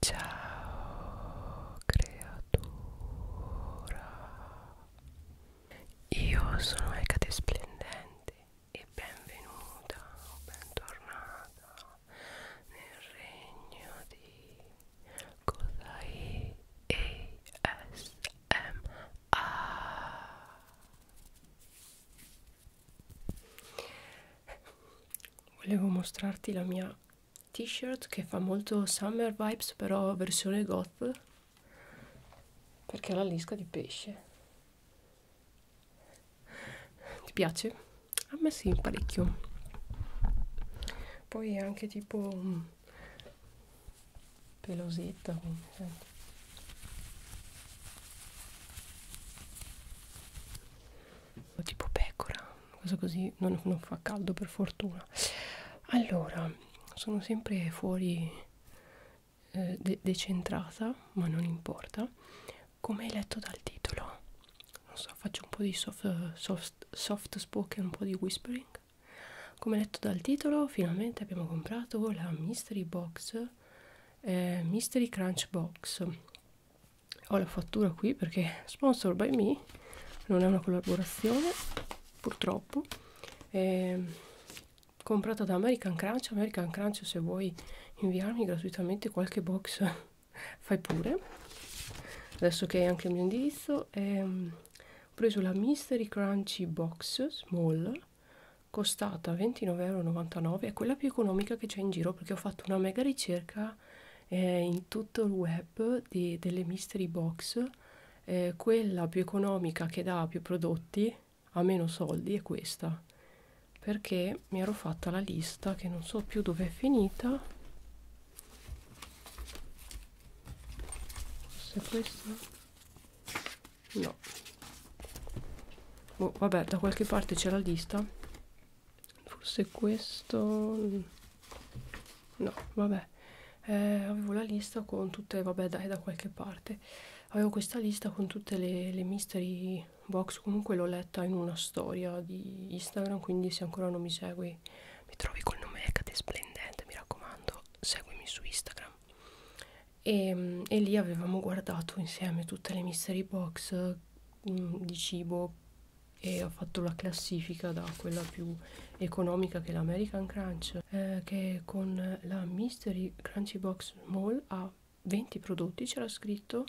Ciao creatura, io sono Ecate Splendente e benvenuta o bentornata nel regno di Kodai ASMR. Volevo mostrarti la mia t-shirt che fa molto summer vibes però versione goth perché ha la lisca di pesce ti piace? a me sì parecchio poi è anche tipo mm, pelosetta eh tipo pecora, una cosa così, non, non fa caldo per fortuna. Allora, sono sempre fuori eh, de decentrata, ma non importa. Come hai letto dal titolo, non so, faccio un po' di soft, soft, soft spoken, un po' di whispering. Come letto dal titolo, finalmente abbiamo comprato la mystery box, eh, mystery crunch box ho la fattura qui perché sponsor by me non è una collaborazione purtroppo è ehm, comprata da American Crunch American Crunch se vuoi inviarmi gratuitamente qualche box fai pure adesso che è anche il mio indirizzo è, ehm, ho preso la Mystery Crunchy Box Small costata 29,99€ è quella più economica che c'è in giro perché ho fatto una mega ricerca c'era eh, in tutto il web di, delle mystery box eh, quella più economica che dà più prodotti a meno soldi è questa perché mi ero fatta la lista che non so più dove è finita forse questa no oh, vabbè da qualche parte c'è la lista forse questo no vabbè eh, avevo la lista con tutte vabbè dai da qualche parte avevo questa lista con tutte le, le mystery box comunque l'ho letta in una storia di instagram quindi se ancora non mi segui mi trovi col nome Ecate Splendente mi raccomando seguimi su instagram e, ehm, e lì avevamo guardato insieme tutte le mystery box mh, di cibo e ho fatto la classifica da quella più economica che è l'American Crunch eh, che con la Mystery Crunchy Box Small ha 20 prodotti c'era scritto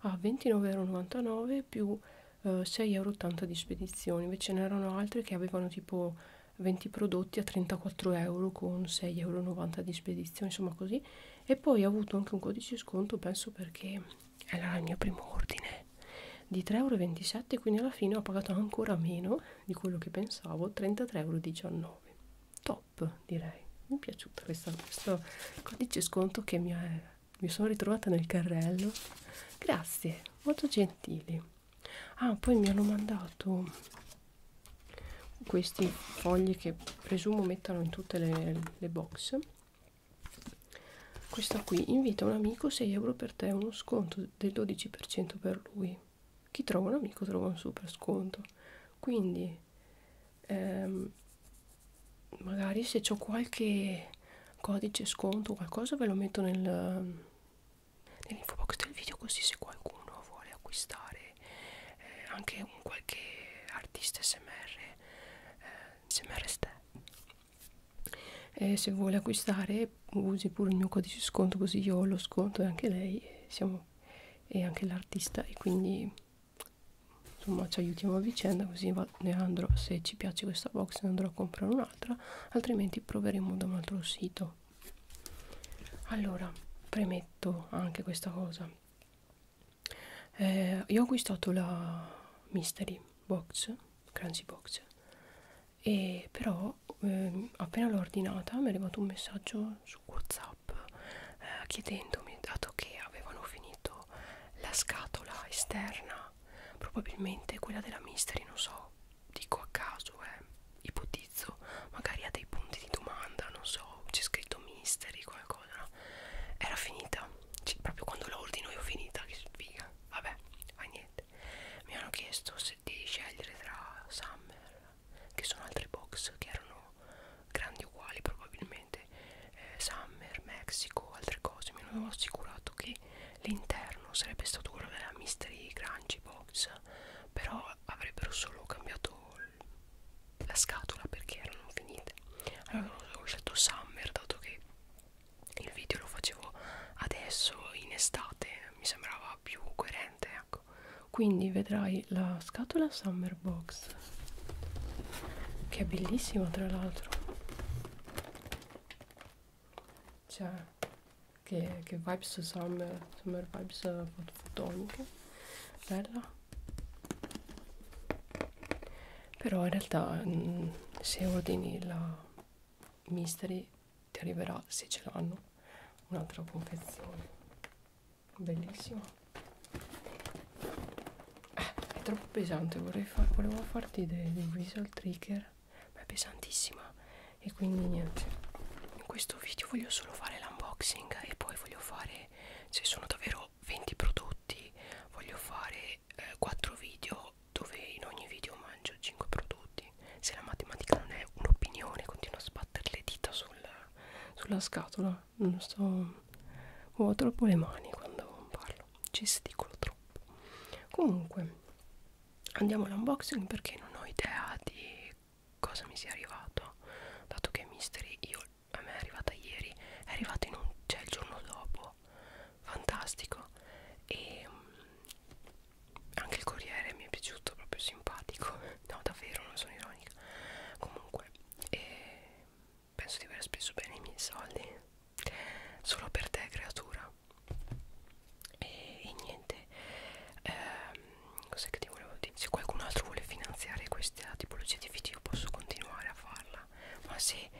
a 29,99€ più eh, 6,80€ di spedizione invece ne erano altre che avevano tipo 20 prodotti a 34€ con 6,90€ di spedizione insomma così e poi ho avuto anche un codice sconto penso perché allora il mio primo ordine di 3,27 euro quindi alla fine ho pagato ancora meno di quello che pensavo 33,19 euro top direi mi è piaciuta questa, questo codice sconto che mi, è, mi sono ritrovata nel carrello grazie molto gentili ah poi mi hanno mandato questi fogli che presumo mettano in tutte le, le box questa qui invita un amico 6 euro per te uno sconto del 12% per lui chi trova un amico trova un super sconto quindi ehm, magari se ho qualche codice sconto o qualcosa ve lo metto nel, nell'info box del video così se qualcuno vuole acquistare eh, anche un qualche artista smr eh, insieme al restè e se vuole acquistare usi pure il mio codice sconto così io ho lo sconto e anche lei e, siamo, e anche l'artista e quindi insomma ci aiutiamo a vicenda così ne andrò se ci piace questa box ne andrò a comprare un'altra altrimenti proveremo da un altro sito allora premetto anche questa cosa eh, io ho acquistato la mystery box, crunchy box, e però eh, appena l'ho ordinata mi è arrivato un messaggio su whatsapp eh, chiedendomi, dato che avevano finito la scatola esterna, probabilmente quella della mystery, non so, dico a caso, eh, ipotizzo, magari ha dei punti di domanda, non so, c'è scritto mystery, qualcosa cosa no? era finita cioè, proprio quando l'ordino io ho finita che sfiga vabbè fa niente mi hanno chiesto se di scegliere tra summer che sono altri box che erano grandi uguali probabilmente eh, summer mexico altre cose mi hanno assicurato che l'interno sarebbe stato quello della mystery crunchy box però avrebbero solo cambiato la scatola perché erano finite allora ho scelto Summer dato che il video lo facevo adesso in estate mi sembrava più coerente ecco quindi vedrai la scatola Summer Box che è bellissima tra l'altro cioè che, che vibes summer, summer vibes fotoniche bella però in realtà mh, mm, se ordini la mystery ti arriverà se ce l'hanno un'altra confezione bellissima eh, è troppo pesante vorrei fa volevo farti dei, dei visual trigger ma è pesantissima e quindi niente in questo video voglio solo fare l'unboxing e poi voglio fare se sono davvero ho 20 prodotti voglio fare eh, 4 video dove in ogni video mangio 5 prodotti se la matematica non è un'opinione continuo a sbattere le dita sul, sulla scatola non sto ho troppo le mani quando parlo gesticolo troppo comunque andiamo all'unboxing perché non ho idea di cosa mi sia arrivato dato che mystery io a me è arrivata ieri è arrivata in un cioè il giorno dopo fantastico e mm, anche il corriere mi è piaciuto proprio simpatico no davvero non sono ironica comunque eh, penso di aver speso bene i miei soldi solo per te creatura e, e niente ehm, cos'è che ti volevo dire se qualcun altro vuole finanziare questa tipologia di video io posso continuare a farla ma se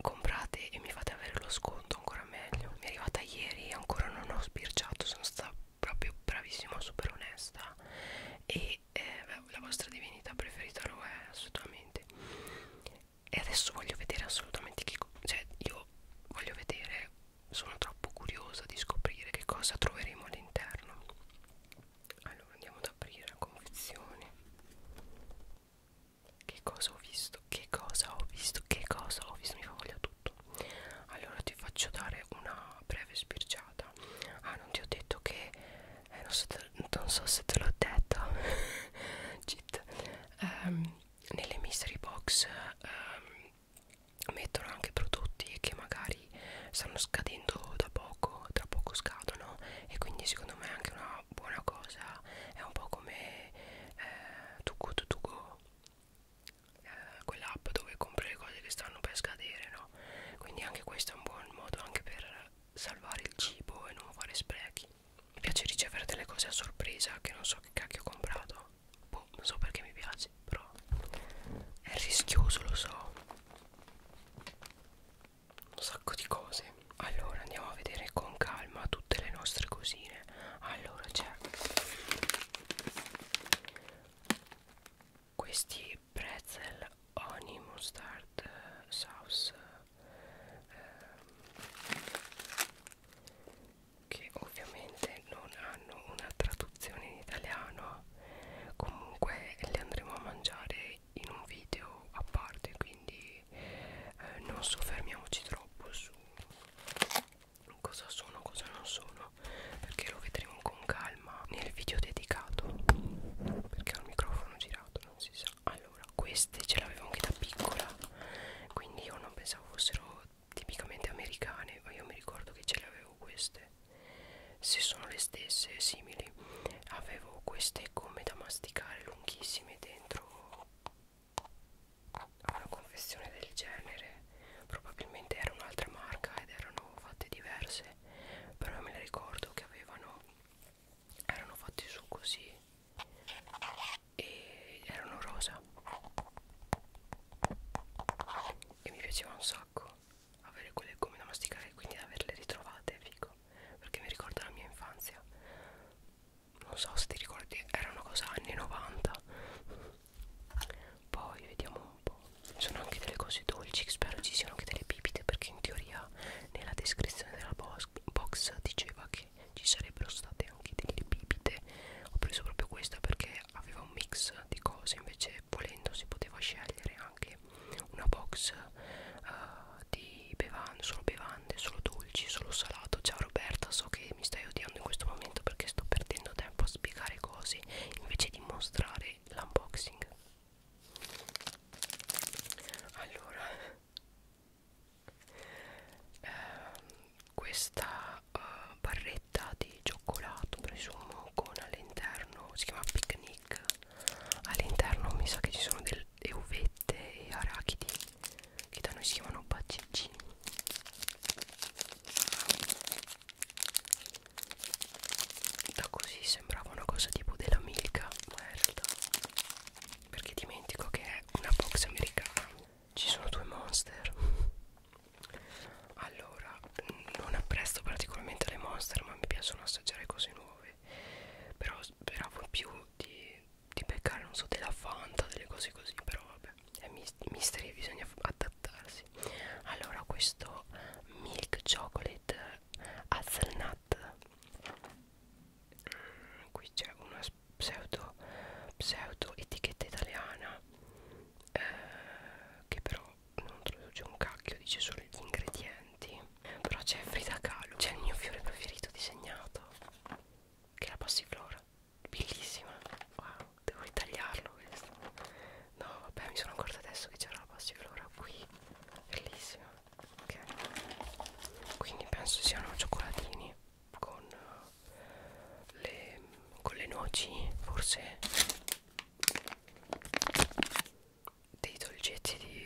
comprate e mi fate avere lo sconto ancora meglio mi è arrivata ieri ancora non ho sbirciato sono stata proprio bravissima super onesta e eh, beh, la vostra divinità preferita lo è assolutamente e adesso voglio vedere assolutamente che cioè io voglio vedere sono troppo curiosa di scoprire che cosa troveremo all'interno allora andiamo ad aprire la confezione che cosa ho visto che cosa ho visto che cosa ho visto mi fa voglia tutto allora ti faccio dare una breve sbirciata ah non ti ho detto che eh, non, so te, non so se te l'ho detto cheat um, nelle mystery box um, mettono anche prodotti che magari magari stanno scadendo da poco, tra poco scadono e quindi secondo me è anche una buona cosa, è un po' come eh, To Go To, to Go, eh, quell'app dove compri le cose che stanno per scadere, no? Quindi anche questo è un buon modo anche per salvare il cibo e non fare sprechi. Mi piace ricevere delle cose a sorpresa che non so che cacchio ho comprato, boh, non so perché mi piace, però è rischioso, lo so un sacco di cose allora andiamo a vedere con calma tutte le nostre cosine allora c'è questi pretzel honey mustard sauce ehm, che ovviamente non hanno una traduzione in italiano comunque le andremo a mangiare in un video a parte quindi eh, non soffermiamoci troppo su cosa sono cosa non sono perché lo vedremo con calma nel video dedicato perché ho il microfono girato non si sa allora queste ce l'avevo anche da piccola quindi io non pensavo fossero tipicamente americane ma io mi ricordo che ce le avevo queste se sono le stesse simili avevo queste gomme da masticare lunghissime dentro a una confezione del genere probabilmente era un'altra marca ed erano fatte diverse però me le ricordo che avevano erano fatte su così e erano rosa e mi piaceva un sacco avere quelle gomme da masticare e quindi averle ritrovate è figo perché mi ricorda la mia infanzia non so se ti ricordi era una cosa anni 90 poi vediamo un po' ci sono anche delle cose dolci spero ci siano anche delle bibite perché in teoria nella descrizione della box, box diceva che ci sarebbero state anche delle bibite ho preso proprio questa perché aveva un mix di cose invece eh, volendo si poteva scegliere anche una box eh, di bevande, solo bevande, solo dolci, solo salato. Ciao Roberta, so che mi stai odiando in questo momento perché sto perdendo tempo a spiegare cose invece di mostrare l'unboxing. Allora, eh, questa eh, barretta di cioccolato presumo con all'interno si chiama picnic shake all'interno mi sa che ci sono delle uvette e arachidi che da noi si chiamano bacici da così sembrava una cosa tipo della milka ma in realtà perché dimentico che è una box americana ci sono due monster allora non apprezzo particolarmente le monster ma mi piacciono assaggiare cose nuove però speravo più di, di beccare non so della fanta delle cose così però vabbè è misteri bisogna adattarsi allora questo milk chocolate hazelnut mm, qui c'è una pseudo pseudo etichetta italiana eh, che però non traduce un cacchio, dice solo gli ingredienti. Però c'è Frida Kahlo, c'è il mio fiore preferito disegnato, che è la passiflora, bellissima. Wow, devo ritagliarlo questo. No, vabbè, mi sono accorta adesso che c'era la passiflora qui, bellissima. Ok, quindi penso siano cioccolatini con eh, le, con le noci, forse dei dolcetti di,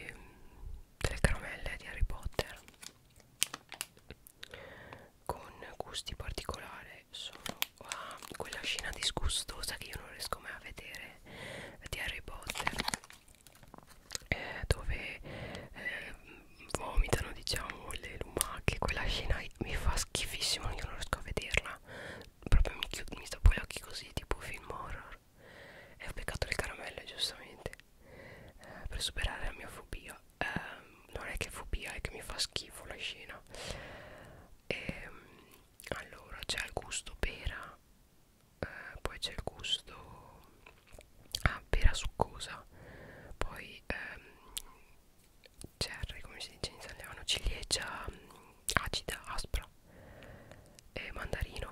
delle mm, caramelle di Harry Potter con gusti particolari sono ah, quella scena disgustosa che io non riesco mai a vedere di Harry Potter eh, dove eh, vomitano diciamo le lumache quella scena mi fa schifissimo io non riesco a vederla proprio mi, chiud, mi tappo gli occhi così tipo film horror e ho beccato le caramelle giustamente eh, per superare la mia fobia eh, non è che fobia è che mi fa schifo la scena e, ehm, allora c'è il gusto pera eh, poi c'è il gusto ah, pera succosa poi ehm, c'è come si dice in italiano ciliegia mm, acida, aspra e mandarino,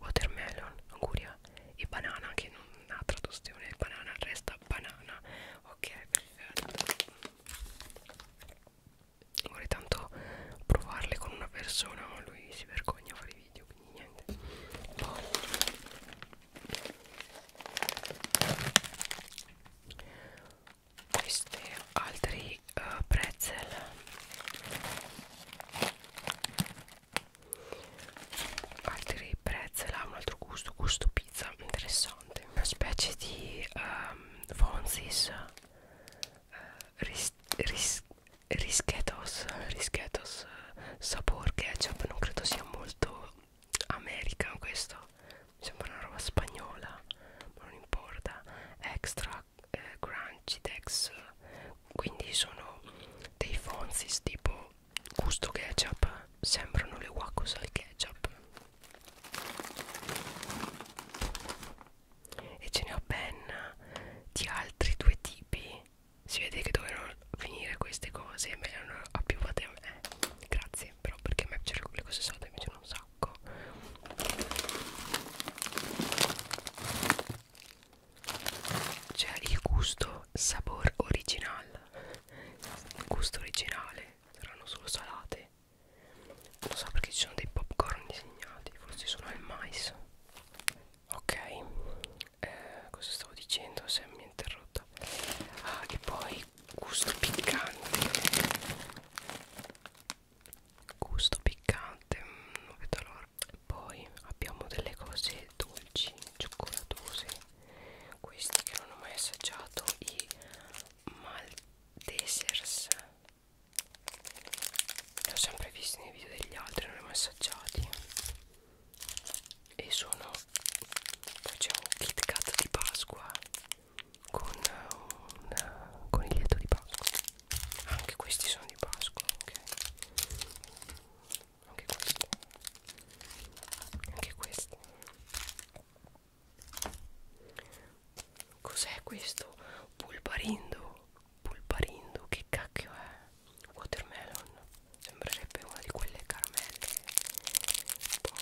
watermelon, anguria e banana che non ha traduzione, banana resta banana ok perfetto vorrei tanto provarle con una persona ma lui si vergogna a fare i video quindi niente poi questi altri uh, pretzel altri pretzel ha un altro gusto gusto pizza interessante una specie di um, fonzis uh, ris, ris, rischetos rischetos eh, sapor ketchup non credo sia molto americano questo mi sembra una roba spagnola ma non importa extra eh, crunchy tex quindi sono dei fonzis tipo gusto ketchup sembrano le wakus al ketchup e ce ne ho ben di altri due tipi si vede che dovevano finire queste cose e me le hanno appioppate a me grazie però perché a me piacciono le cose salde invece non sa sacco cioè il gusto sapor original il gusto originale saranno solo salate non so perché ci sono dei popcorn disegnati forse sono al mais ok eh, cosa stavo dicendo se mi è interrotta ah, e poi gusto piccante gusto piccante mm, non vedo l'ora poi abbiamo delle cose dolci cioccolatose questi che non ho mai assaggiato i Maldesers li ho sempre visti nei video degli altri non li ho mai assaggiati e sono poi c'è un Kit Kat di Pasqua con un eh, coniglietto di Pasqua anche questi sono di Pasqua ok anche questi anche questi cos'è questo pulparindo pulparindo che cacchio è watermelon sembrerebbe una di quelle caramelle un po'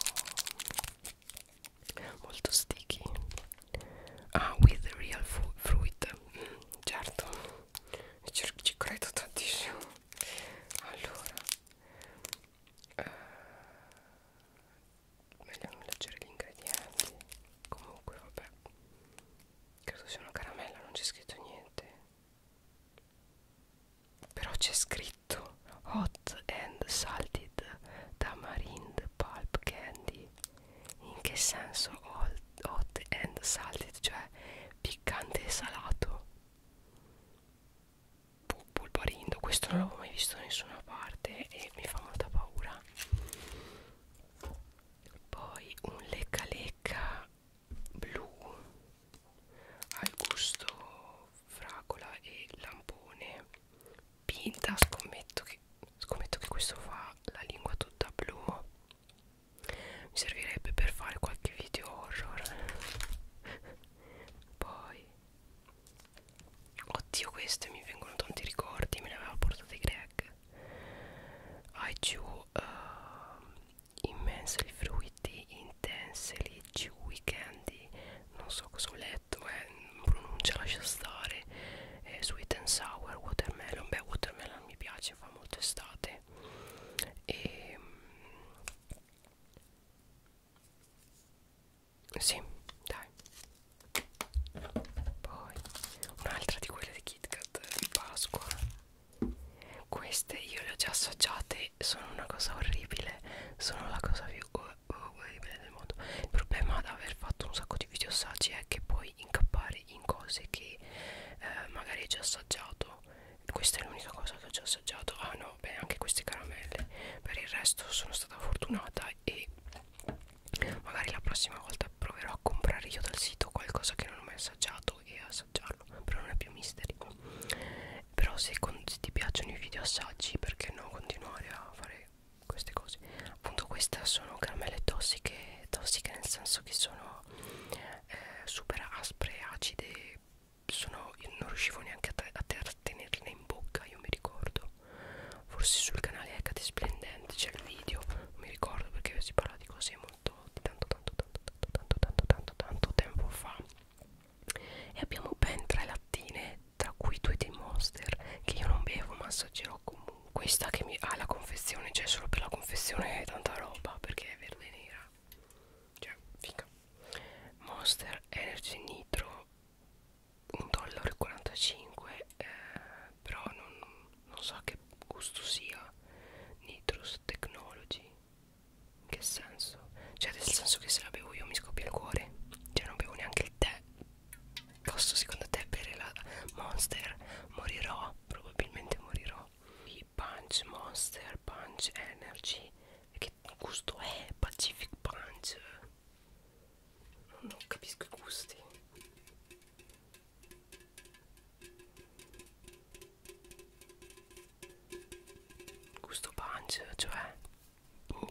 molto sticky ah with the real fruit mm, certo ci, ci credo tantissimo allora eh, meglio non leggere gli ingredienti comunque vabbè credo sia una caramella non c'è scritto niente però c'è scritto hot and salted tamarind pulp candy in che senso hot, hot and salted cioè piccante e salato pulparindo questo non l'avevo mai visto da nessuna parte e mi fa molta paura poi un lecca lecca blu al gusto fragola e lampone pinta scommetto che, scommetto che questo fa la lingua tutta blu mi servirebbe per fare qualche video horror poi oddio queste mi vengono tanti ricordi me ne aveva portate Greg IQ uh, ehm, immensely fruity intensely chewy candy non so cosa ho letto detto eh, pronuncia lascia stare eh, sweet and sour watermelon beh watermelon mi piace fa molto estate e ehm, sì dai poi un'altra di quelle di Kit Kat eh, di Pasqua queste io le ho già assaggiate sono una cosa orribile sono la cosa più orribile Oh, del mondo il problema di aver fatto un sacco di video assaggi è che puoi incappare in cose che eh, magari hai già assaggiato questa è l'unica cosa che ho già assaggiato ah no beh anche queste caramelle per il resto sono stata fortunata e magari la prossima volta proverò a comprare io dal sito qualcosa che non ho mai assaggiato e assaggiarlo però non è più misteri però se, se ti piacciono i video assaggi perché no continuare a fare queste cose appunto queste sono caramelle tossiche tossiche nel senso che sono eh, super aspre acide sono, io non riuscivo neanche a, a tenerle in bocca io mi ricordo forse sul canale Hecate Splendente c'è il video non mi ricordo perché si parla di cose molto di tanto tanto tanto tanto tanto tanto tanto tanto tempo fa e abbiamo ben tre lattine tra cui due dei monster che io non bevo ma assaggerò comunque questa che mi ha ah, la confezione cioè solo per la confezione è tanta roba perché è verde e nera cioè figa monster energy nitro 1,45 dollaro eh, però non, non so che gusto sia nitrous technology in che senso cioè nel senso che se la bevo io mi scoppia il cuore cioè non bevo neanche il tè Posso secondo te bere la Monster? Morirò, probabilmente morirò. I Punch Monster, Punch Energy. Che gusto è? Pacific Punch. Non capisco i gusti. Gusto punch, cioè boh.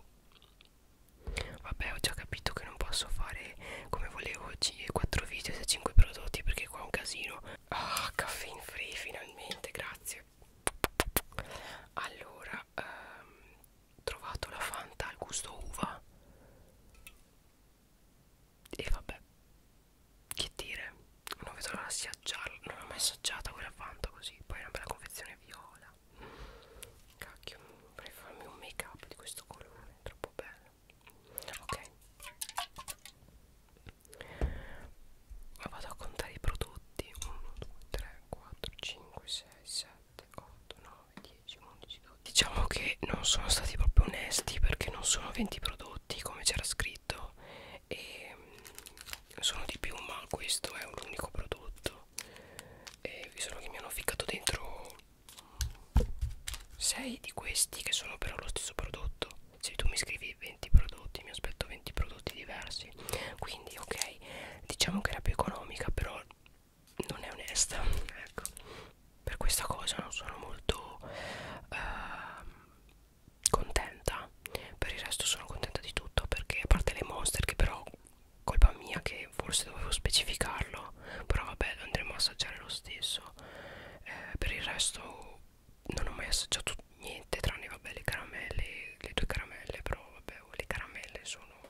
Vabbè, ho già capito che non posso fare come volevo oggi 4 video e 5 prodotti perché qua è un casino. Ah, oh, caffeine free finalmente, grazie. Allora, ehm, trovato la Fanta al gusto uva. E vabbè, che dire, non vedo l'ora di assaggiarla. Non l'ho mai assaggiata quella Fanta così. Poi è una bella confezione viola idea cacchio vorrei farmi un make up di questo colore è troppo bello ok ma vado a contare i prodotti 1 2 3 4 5 6 7 8 9 10 11 12 diciamo che non sono stati proprio onesti perché non sono 20 prodotti come c'era scritto e mm, sono di più ma questo è l'unico prodotto e vi sono che mi hanno ficcato dentro 6 di questi che sono però lo stesso prodotto se tu mi scrivi 20 prodotti mi aspetto 20 prodotti diversi quindi ok diciamo che era più economica però non è onesta ecco per questa cosa non sono molto eh, contenta per il resto sono contenta di tutto perché a parte le monster che però colpa mia che forse dovevo specificarlo però vabbè lo andremo a assaggiare lo stesso eh, per il resto non ho mai assaggiato niente tranne vabbè le caramelle le due caramelle però vabbè oh, le caramelle sono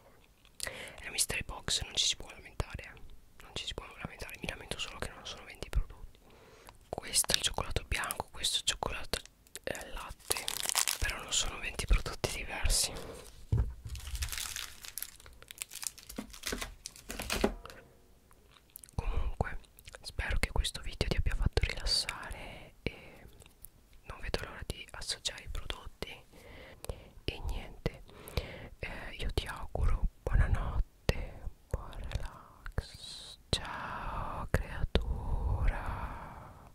è la eh, mystery box non ci si può lamentare eh. non ci si può lamentare mi lamento solo che non sono 20 prodotti questo è il cioccolato bianco questo è il cioccolato e eh, al latte però non sono 20 prodotti diversi comunque spero che questo video ti abbia fatto rilassare e non vedo l'ora di assaggiare i prodotti e niente eh, io ti auguro buonanotte buon relax ciao creatura